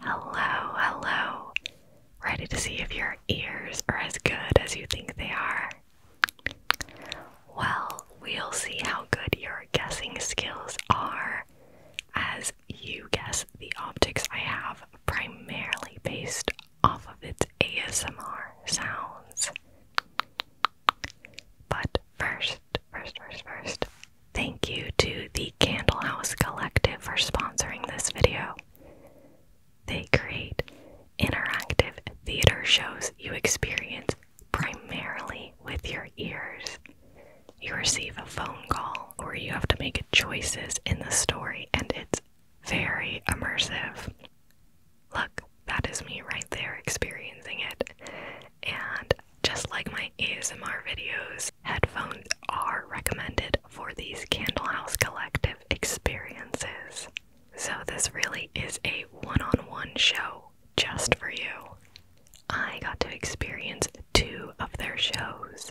Hello, hello. Ready to see if your ears are as good as you think they are? Well, we'll see how good your guessing skills are as you guess the optics I have primarily based off of its ASMR sounds. But first, first, first, first, thank you to the Candlehouse Collective for sponsoring this video. They create interactive theater shows you experience primarily with your ears. You receive a phone call or you have to make choices in the story, and it's very immersive look, that is me right there experiencing it. And just like my ASMR videos, headphones are recommended for these Candlehouse Collective experiences. So, this really is a one on one show just for you. I got to experience two of their shows.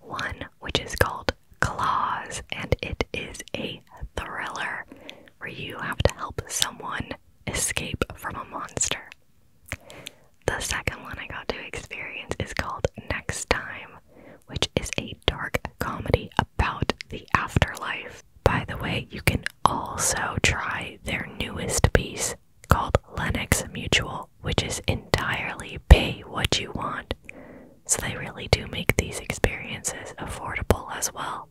One, which is called Claws, and it is a thriller where you have to help someone escape from a monster. The second one I got to experience is called Next Time, which is a dark comedy about the afterlife. By the way, you can also try their newest piece called Lennox Mutual, which is entirely pay what you want. So they really do make these experiences affordable as well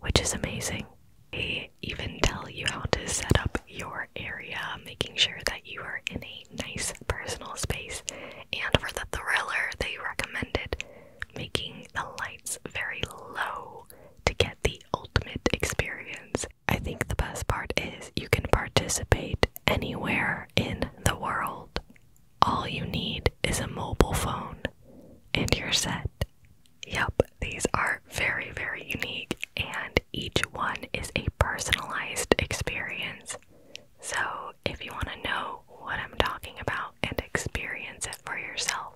which is amazing. They even tell you how to set up your area, making sure that you are in a nice personal space. And for the thriller, they recommended making the lights very low to get the ultimate experience. I think the best part is you can participate anywhere in the world. All you need is a mobile phone and you're set. Yep, these are very, very unique, and each one is a personalized experience. So, if you want to know what I'm talking about and experience it for yourself,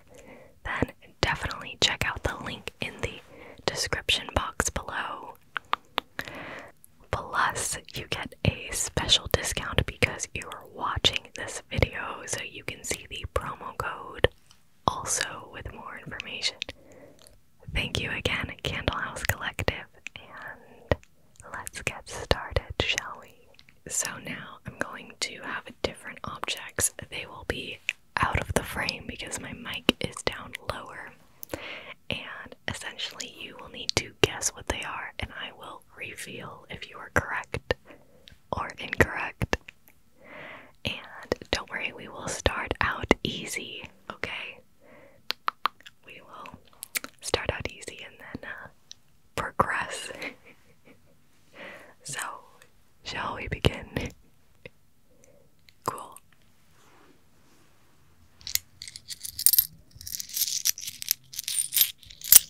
then definitely check out the link in the description box below. Plus, you get a special discount because you are watching this video so you can see the promo code also with more information. Thank you again, Candlehouse Collective, and let's get started, shall we? So now I'm going to have different objects. They will be out of the frame because my mic is down lower. And essentially, you will need to guess what they are, and I will reveal if you are correct or incorrect. And don't worry, we will start out easy, okay? We will start out easy and then uh, progress. so, shall we begin? cool.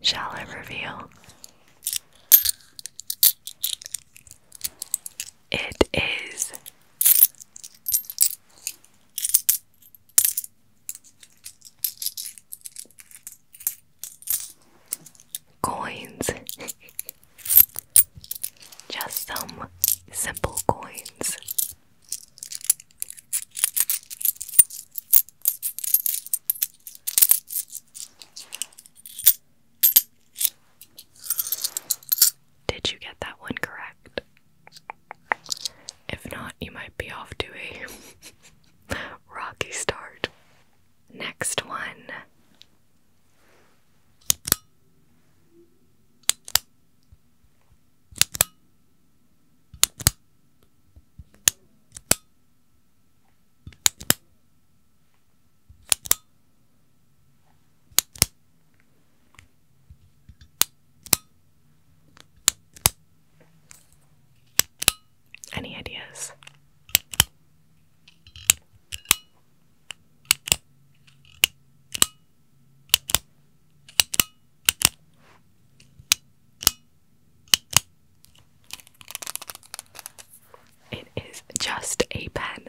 Shall I reveal? It is coins. Just some simple coins. Did you get that one correct? If not, you might be off to a rocky start. Next one. Any ideas? It is just a pen.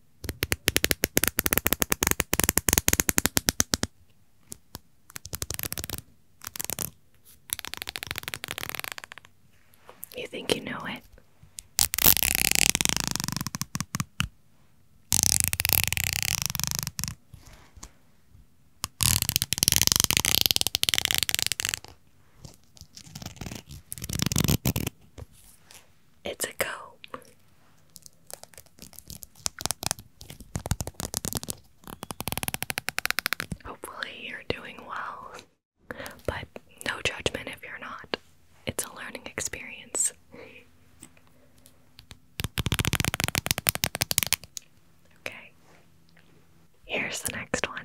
You think you know it? It's a go. Hopefully, you're doing well. But no judgment if you're not. It's a learning experience. Okay. Here's the next one.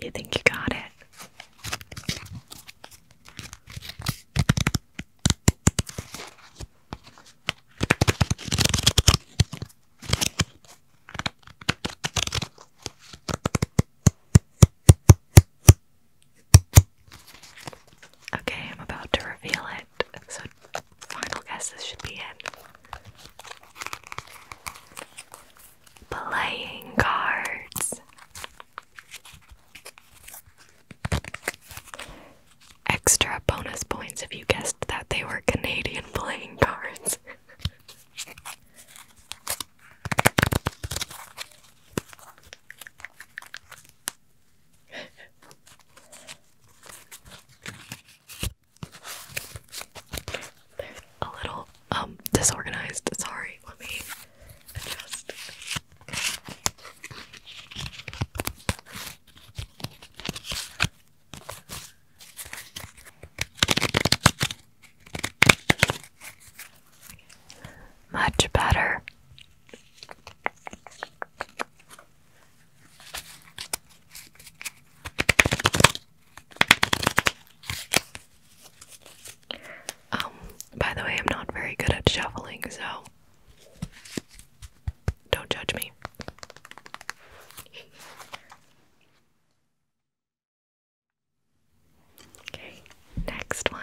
You think you got it? Okay, I'm about to reveal it, so final guesses should be in playing cards. Extra bonus points if you guessed that they were Canadian playing cards. They're a little um, disorganized. Sorry, let me adjust. Much better. Um, by the way, I'm not very good at shuffling, so don't judge me. Okay, next one.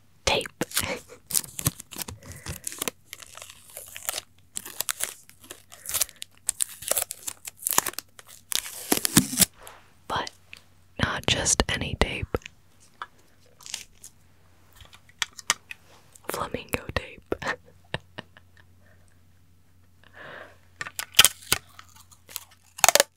tape. but not just any tape. Flamingo tape.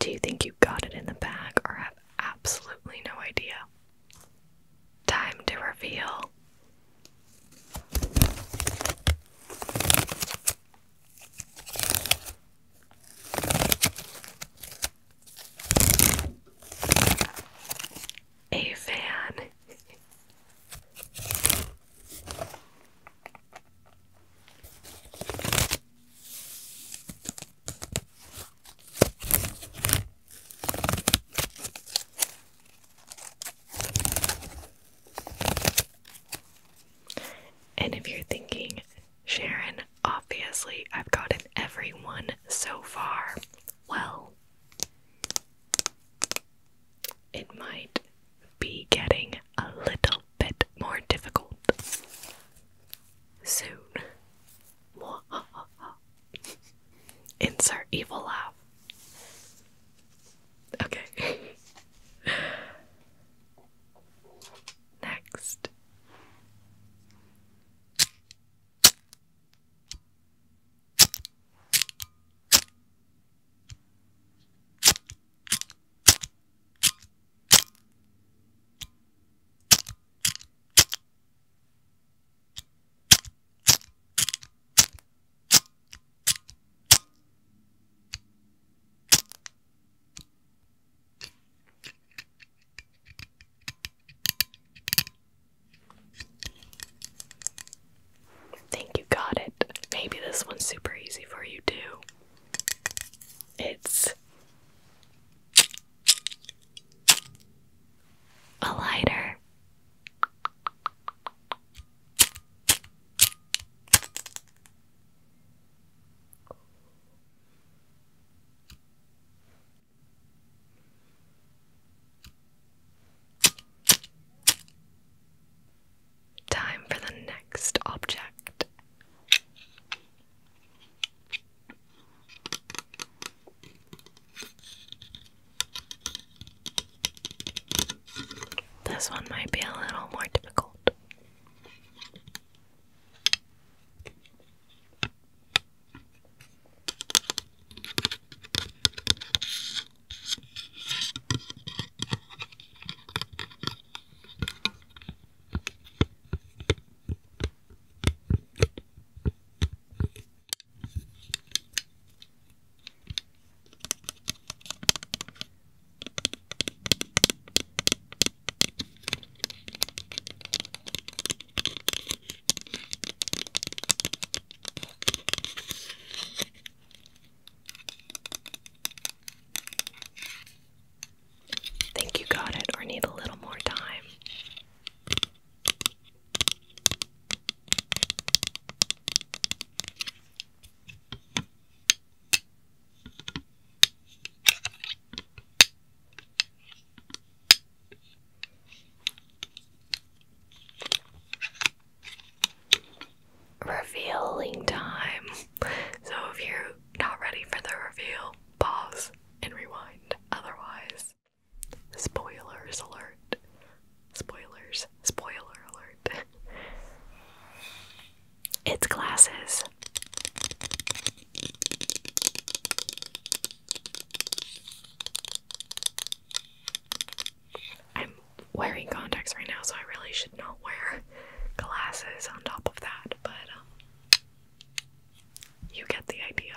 Do you think you got it in the bag or have absolutely no idea? Time to reveal. A fan. And if you're thinking, Sharon, obviously I've gotten everyone so far, well, it might be getting a little bit more difficult soon. Insert evil laugh. Okay. Next think you got it. Maybe this one's super easy for you too. It's a lighter, Time for the next object. This one might be a little more difficult. Think you got it or need a little more time? Revealing time. So if you're not ready for the reveal, pause and rewind. Otherwise, Spoilers alert. Spoilers. Spoiler alert. it's glasses. I'm wearing contacts right now, so I really should not wear glasses on top of that, but um, you get the idea.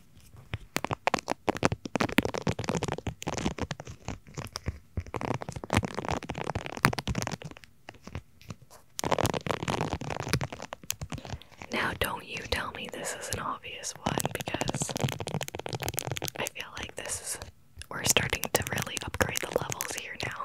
now, don't you tell me this is an obvious one because I feel like this is. We're starting to really upgrade the levels here now.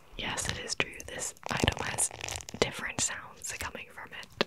Yes, it is true. This item has different sounds coming from it.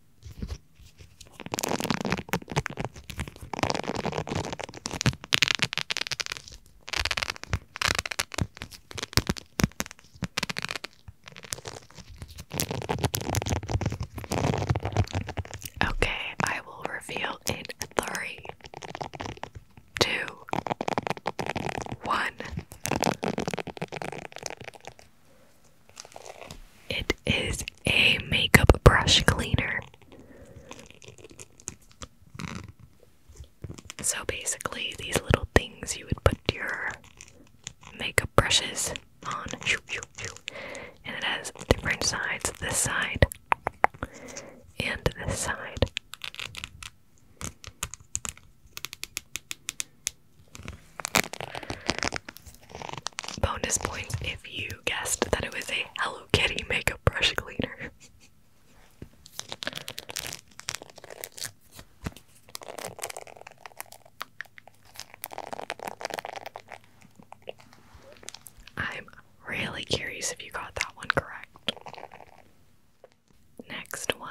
Okay, I will reveal in three, two, one. It is a makeup brush cleaner. So basically, these little things you would put your makeup brushes on, and it has different sides this side and this side. Bonus point if you guessed that it was a Hello Kitty makeup brush cleaner. I'm really curious if you got that one correct. Next one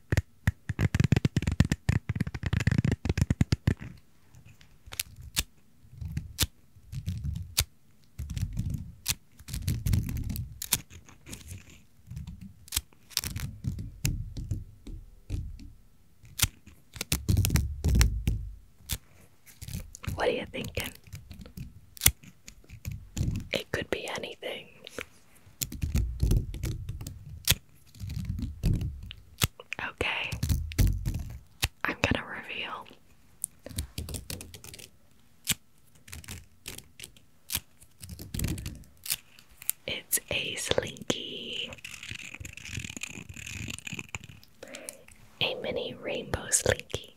What are you thinking? It could be anything. Okay, I'm gonna reveal. It's a slinky, a mini rainbow slinky.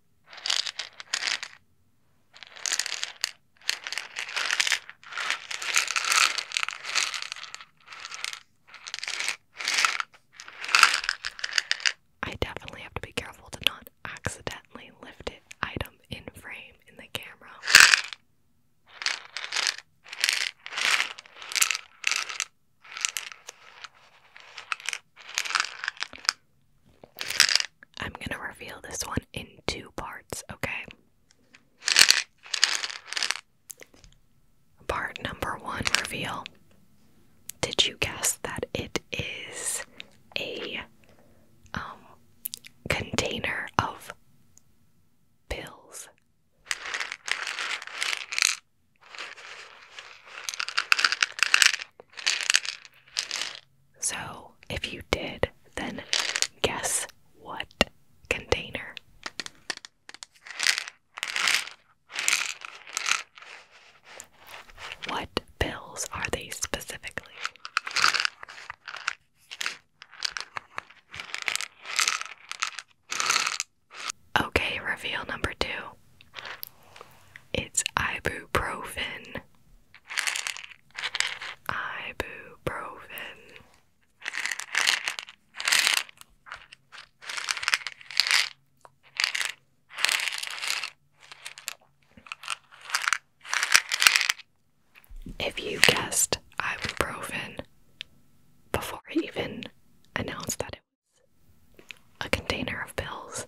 I definitely have to be careful to not accidentally lift it item in frame in the camera. I'm gonna reveal this one in two parts, okay? Part number one reveal. Did you guess that it is a um, container of pills? So, if you did, then guess what container? What bills are they specifically? Okay, reveal number two. It's ibuprofen ibuprofen if you guessed ibuprofen before I even announced that it was a container of pills,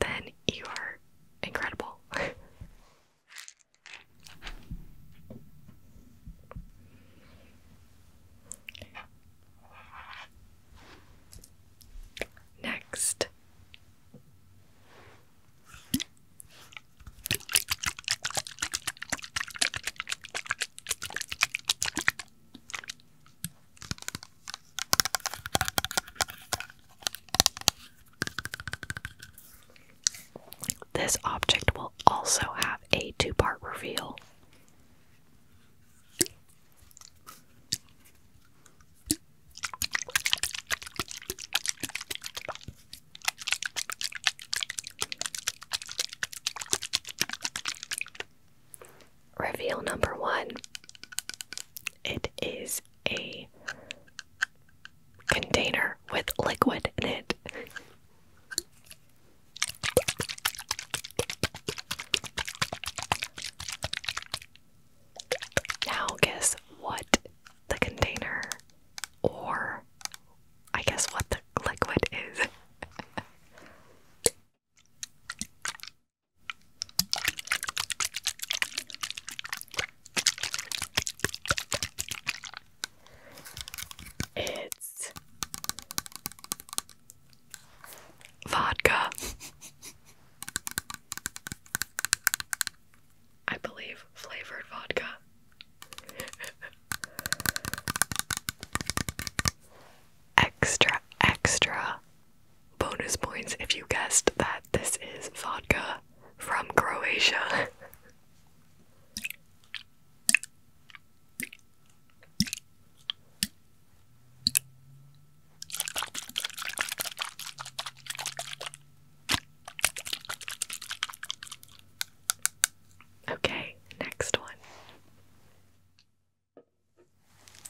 then you are incredible. Next. This object will also have a two part reveal. Reveal number one it is a container with liquid in it. Now, guess what the container or I guess what the liquid is. It's vodka. I believe flavored vodka. extra, extra Bonus points if you guessed that this is vodka from Croatia. Okay, next one.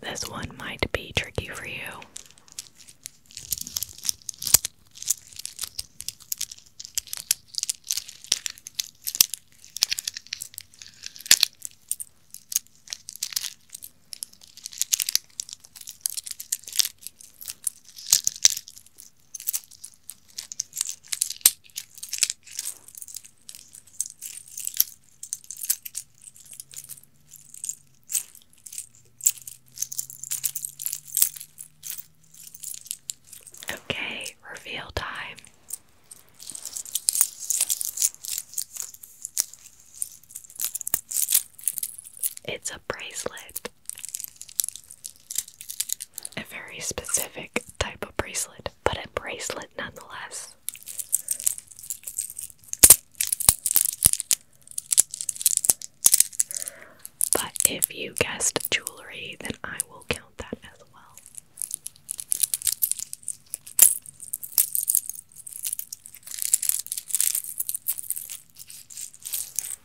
This one might be tricky for you. Okay, reveal time. It's a bracelet. A very specific type of bracelet, but a bracelet nonetheless. But if you guessed jewelry, then I will count that as well.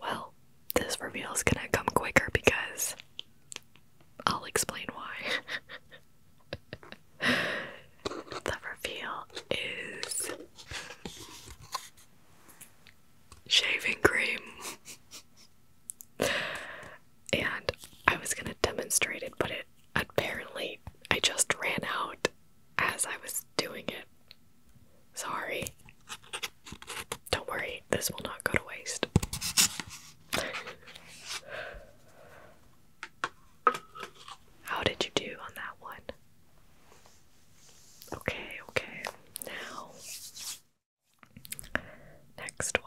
Well, this reveal is going to come quicker because I'll explain why. the reveal is shaving cream. and I was gonna demonstrate it, but it apparently I just ran out as I was doing it. Sorry. Don't worry, this will not go to waste. How did you do on that one? Okay, okay. Now, next one.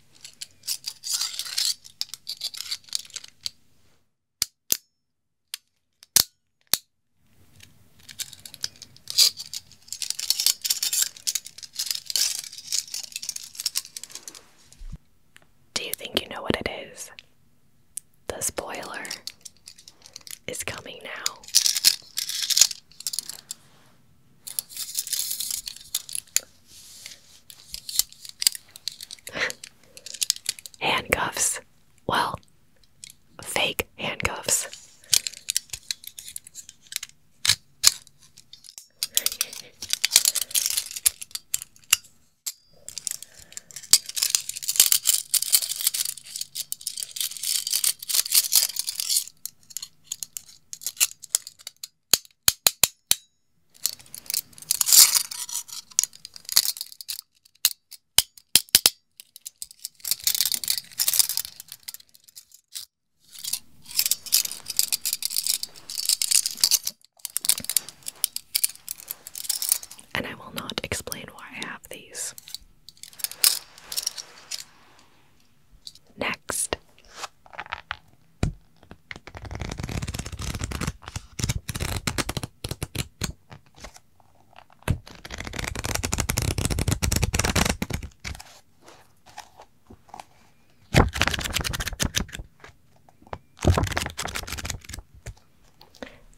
Do you think you know what it is? The spoiler is coming now handcuffs. Well, fake handcuffs. And I will not explain why I have these. Next,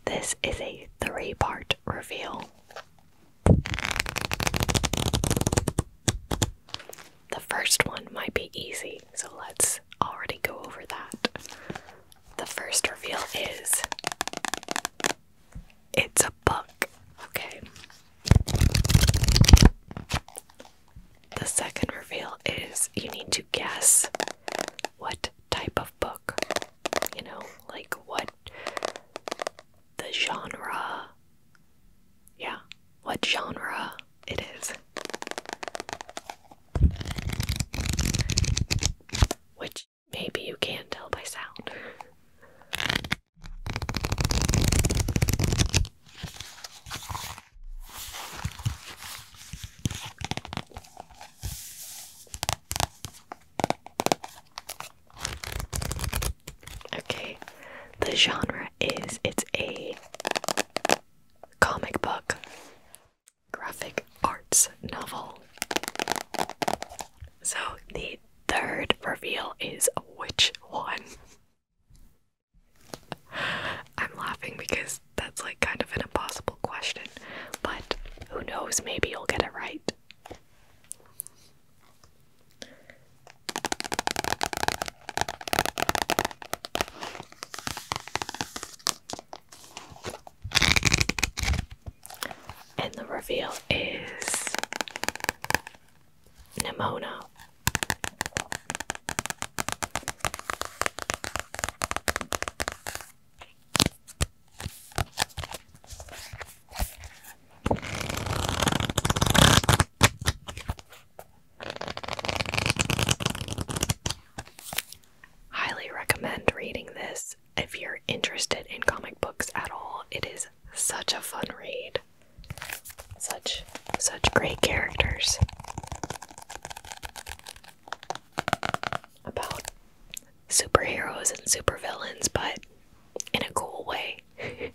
this is a three part reveal the first one might be easy, so let's already go over that. The first reveal is it's a book, okay? The second reveal is you need to guess what type of book, you know, like what the genre yeah, what genre it is. Which maybe you can tell by sound. Okay, the genre is it's a comic book, graphic arts novel. So the third reveal is which one? I'm laughing because that's like kind of an impossible question, but who knows, maybe you'll get it right. And the reveal is Nimona. Highly recommend reading this if you're interested in comic books at all. It is such a fun read. Such such great characters. About superheroes and supervillains, but in a cool way.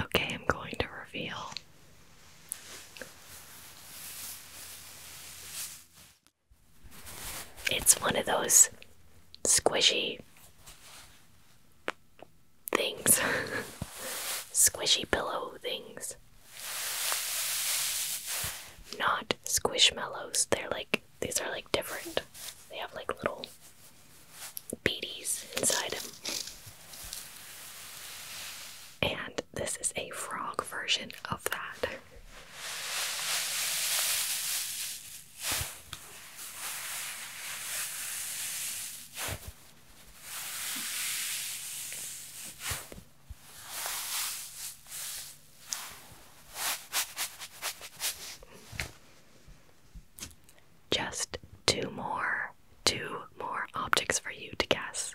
Okay, I'm going to reveal. It's one of those squishy things, squishy pillow things. Not squishmallows, they're like, these are like different. They have like little beaties inside them. And this is a frog version of that. Just two more, two more objects for you to guess.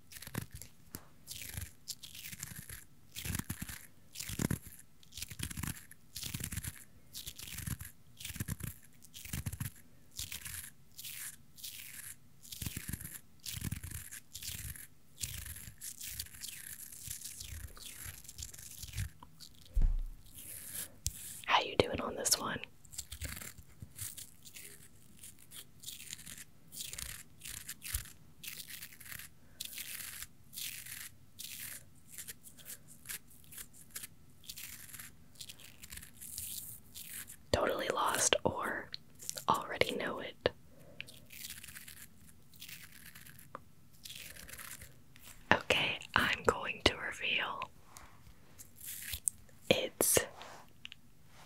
How you doing on this one? Totally lost or already know it. Okay, I'm going to reveal it's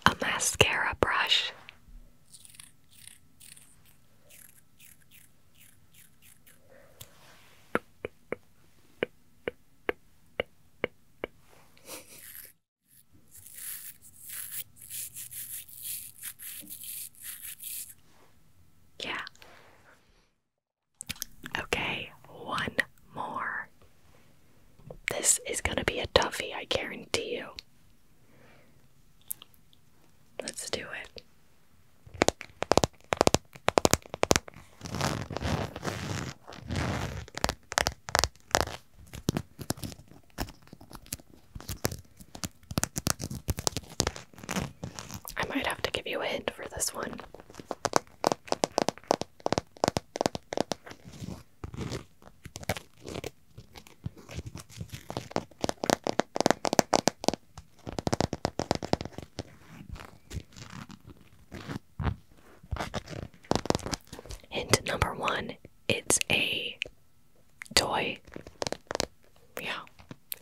a mascara brush yeah. Okay, one more. This is going to be a toughie, I guarantee you. Let's do it. I might have to give you a hint for this one. Hint number one it's a toy. Yeah,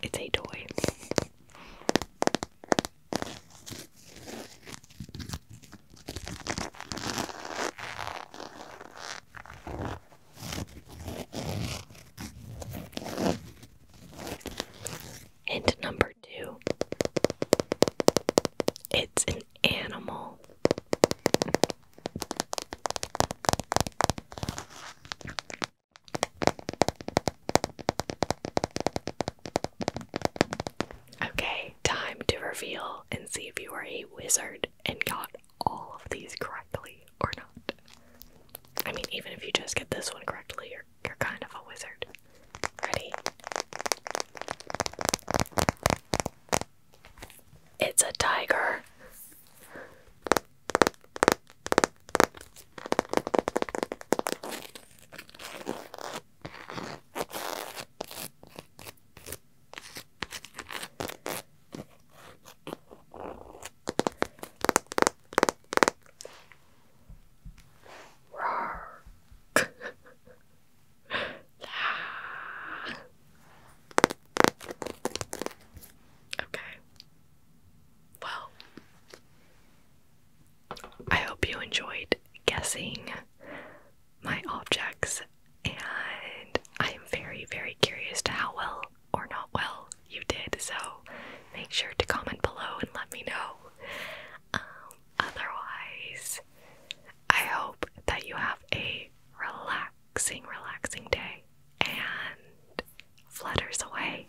it's a toy. And number two it's an animal. Okay, time to reveal and see if you are a wizard and got all of these correctly or not. I mean, even if you just get this one correctly, you're, kind of a wizard. Ready? It's a tiger okay. Well, I hope you enjoyed guessing my objects, and I am very, very curious to how well or not well you did. So make sure to comment below and let me know. Um, otherwise, I hope that you have a relaxing, relaxing day and flutters away.